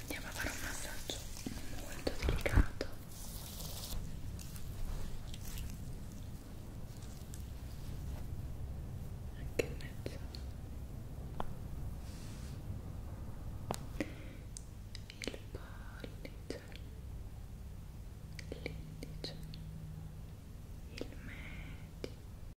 andiamo a fare un massaggio molto delicato anche in mezzo il pollice l'indice il medio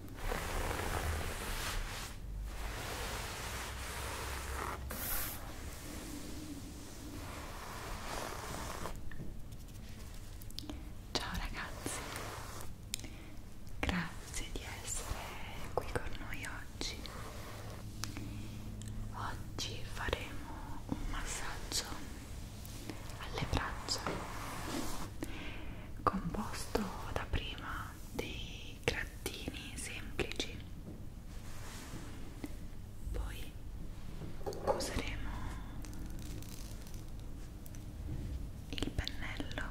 Ciao ragazzi, grazie di essere qui con noi oggi. Oggi faremo un massaggio alle braccia composto da prima dei grattini semplici poi useremo il pennello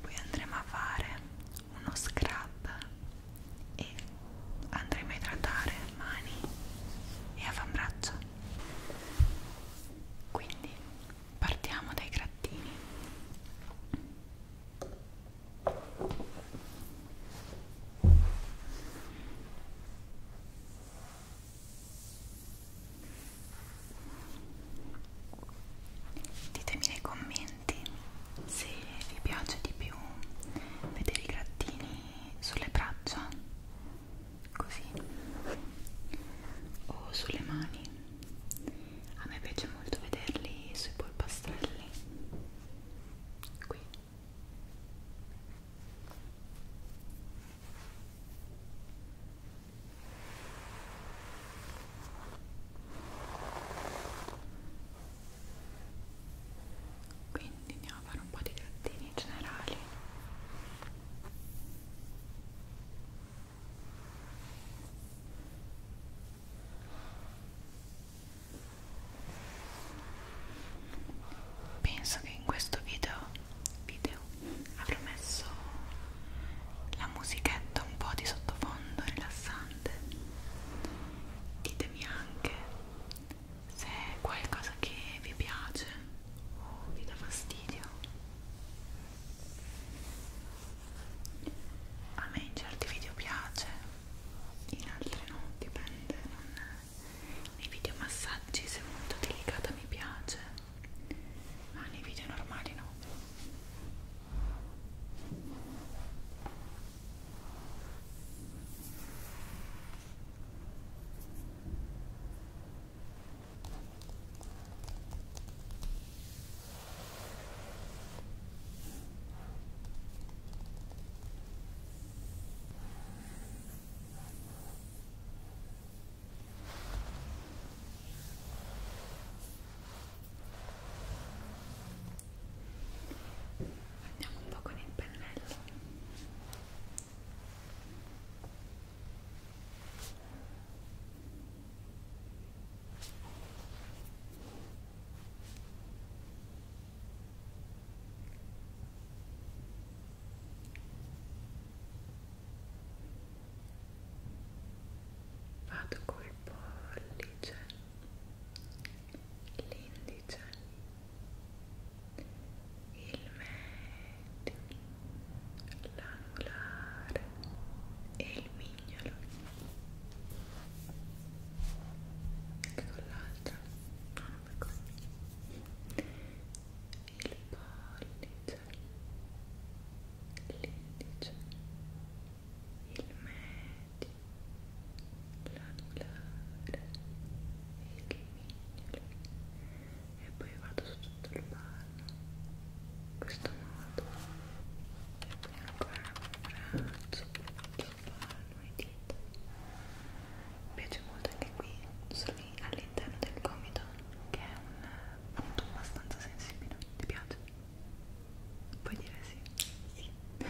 poi andremo a fare uno scrub e andremo a idratare mani e avambraccio quindi partiamo dai grattini ditemi nei commenti se vi piace di più vedere i grattini sulle braccia così o sulle mani a me piace molto vederli sui polpastrelli qui quindi andiamo a fare un po' di grattini generali Penso che in questo video, video avrò messo la musichetta un po' di sottofondo rilassante. Ditemi anche se è qualcosa che vi piace o oh, vi dà fastidio a me in certi video piace in altri no, dipende non... nei video massaggi se è molto delicata mi piace ma nei video normali no Andiamo un po' con il pennello. Vado col pollice, l'indice, il medio, l'anulare e il mignolo anche con l'altra no, non per così il pollice l'indice il medio l'anulare e il mignolo e poi vado su tutto il palmo in questo modo e poi ancora un braccio sul palmo e dita mi piace molto anche qui all'interno del gomito che è un punto abbastanza sensibile ti piace? puoi dire sì? sì ok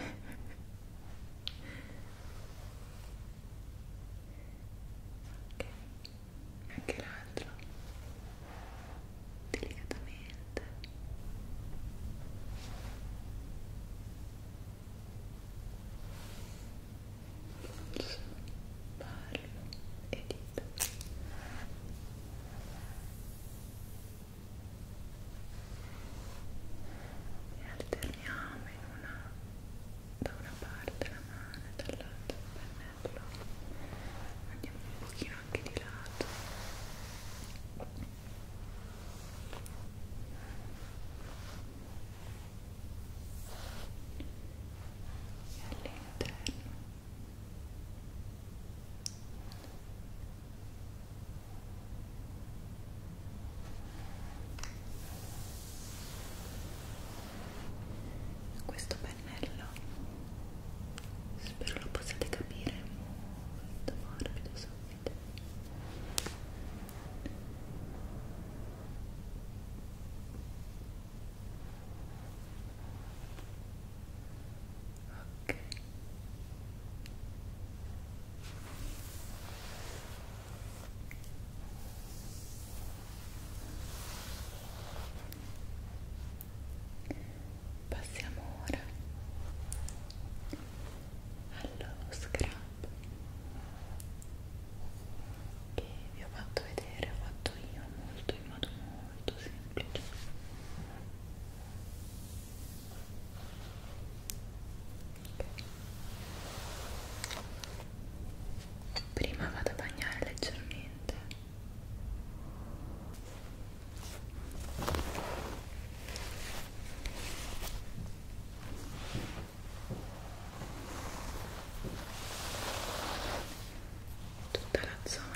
anche l'altro delicatamente pallo e dita e alterniamo in una da una parte la mano e dall'altra il pennello andiamo un pochino anche di lato e all'interno e questo pennello spero lo possiate capire molto morbido subito ok Passiamo ora allo scrub che vi ho fatto vedere, ho fatto io molto in modo molto semplice. Okay prima vado a bagnare leggermente tutta la zona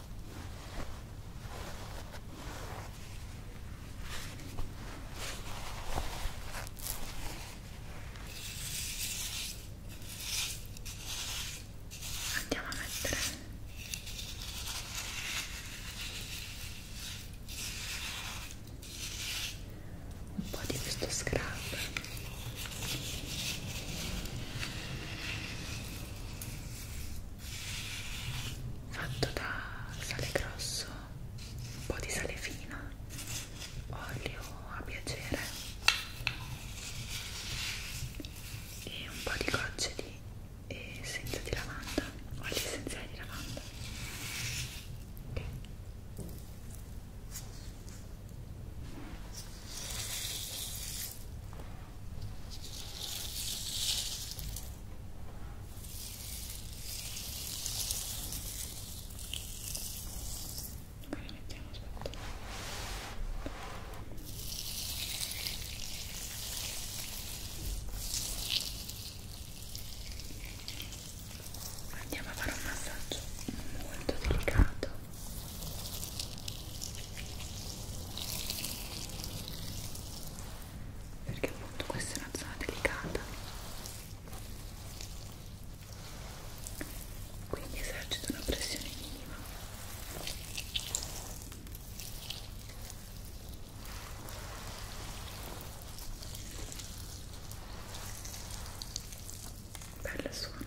Andiamo a mettere un po' di questo scrub fatto da sale grosso, un po' di sale fino, olio a piacere e un po' di gocce di essenza di lavanda, olio essenziale di lavanda. Okay. Ok, mettiamo aspetta. Andiamo a fare un massaggio molto delicato perché appunto questa è una zona delicata quindi esercito una pressione minima bello suono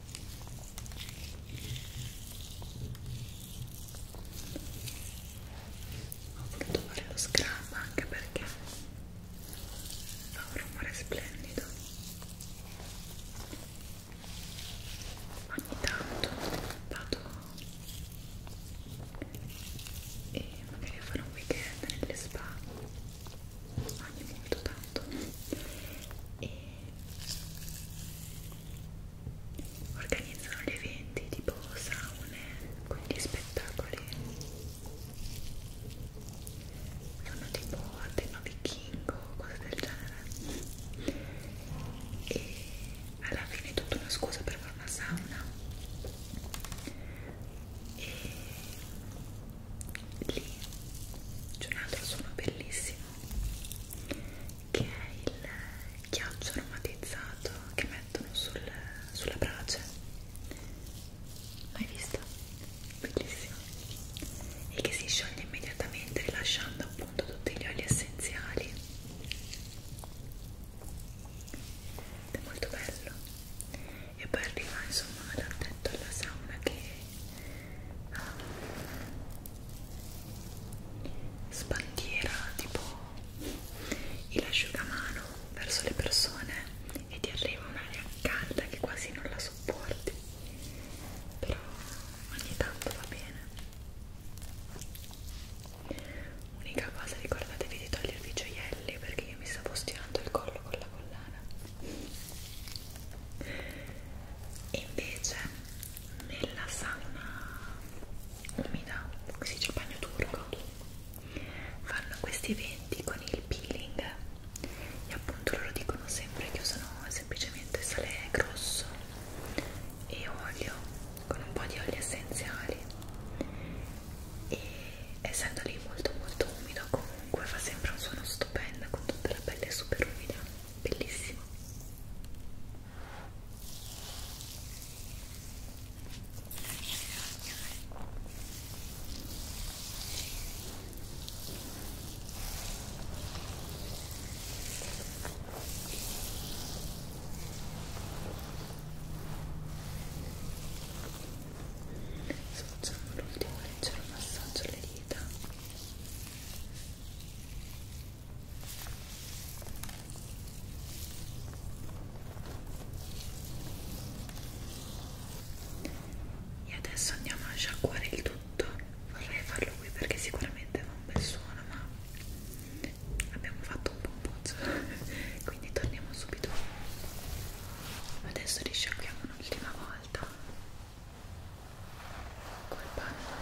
ho voluto fare lo scrub anche perché fa un rumore splendido ogni tanto vado e magari a fare un weekend nelle spa ogni molto tanto e organizzano gli eventi tipo saune con gli spettacoli sono tipo a tema vichingo cose del genere e alla fine è tutta una scusa per fare una sauna e lì c'è un altro suono bellissimo che è il ghiaccio aromatizzato che mettono sul, sulla brace mai visto? bellissimo e che si scioglie immediatamente rilasciando appunto tutti gli oli essenziali ed è molto bello e poi arriva insomma dal tetto alla sauna che sbandiera tipo il asciugamano verso le persone e ti arriva un'aria calda che quasi non la sopporti però ogni tanto va bene unica cosa ricordatevi di togliervi i gioielli perché io mi stavo stirando il collo con la collana invece nella sauna umida, si dice bagno turco, fanno questi eventi con il peeling e appunto loro dicono sempre che usano semplicemente sale grosso e olio con un po' di oli essenziali e essendo lì molto molto umido comunque fa sempre un suono stupendo con tutta la pelle super umida bellissimo Adesso facciamo l'ultimo leggero massaggio alle dita e adesso andiamo a sciacquare il tutto vorrei farlo qui perché sicuramente fa un bel suono ma abbiamo fatto un po' un pozzo quindi torniamo subito adesso risciacquiamo un'ultima volta col panno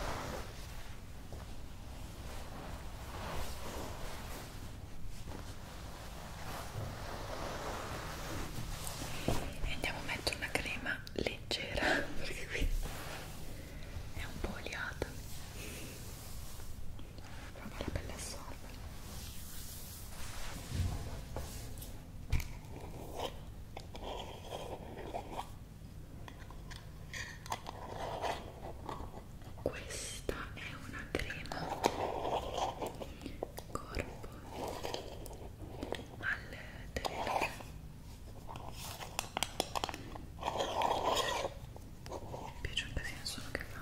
e andiamo a mettere una crema leggera perché qui è un po' oliata proprio la pelle assorbe questa è una crema corpo al terreno mi piace un casino solo che fa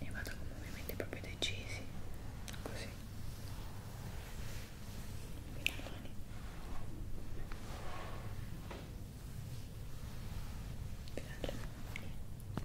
e vado con movimenti proprio decisi così fino alle mani fino alle mani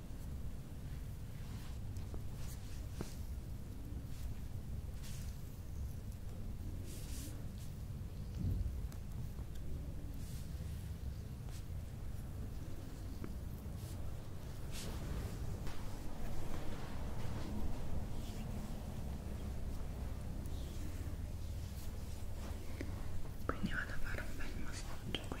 quindi vado a fare un bel massaggio qui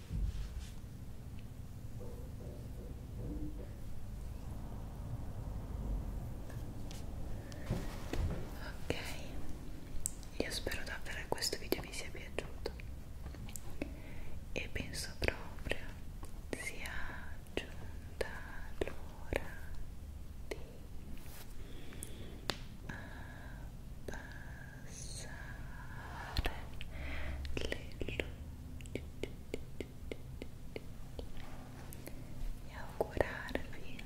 Ok, io spero davvero che questo video vi sia piaciuto e penso proprio sia giunta l'ora di abbassare eh, abbassare le luci e augurarvi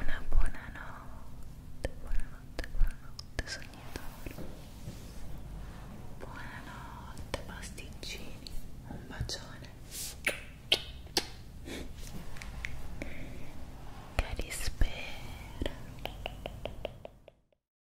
una buona notte, buonanotte, buonanotte sognatori buonanotte pasticcini, un bacione che rispera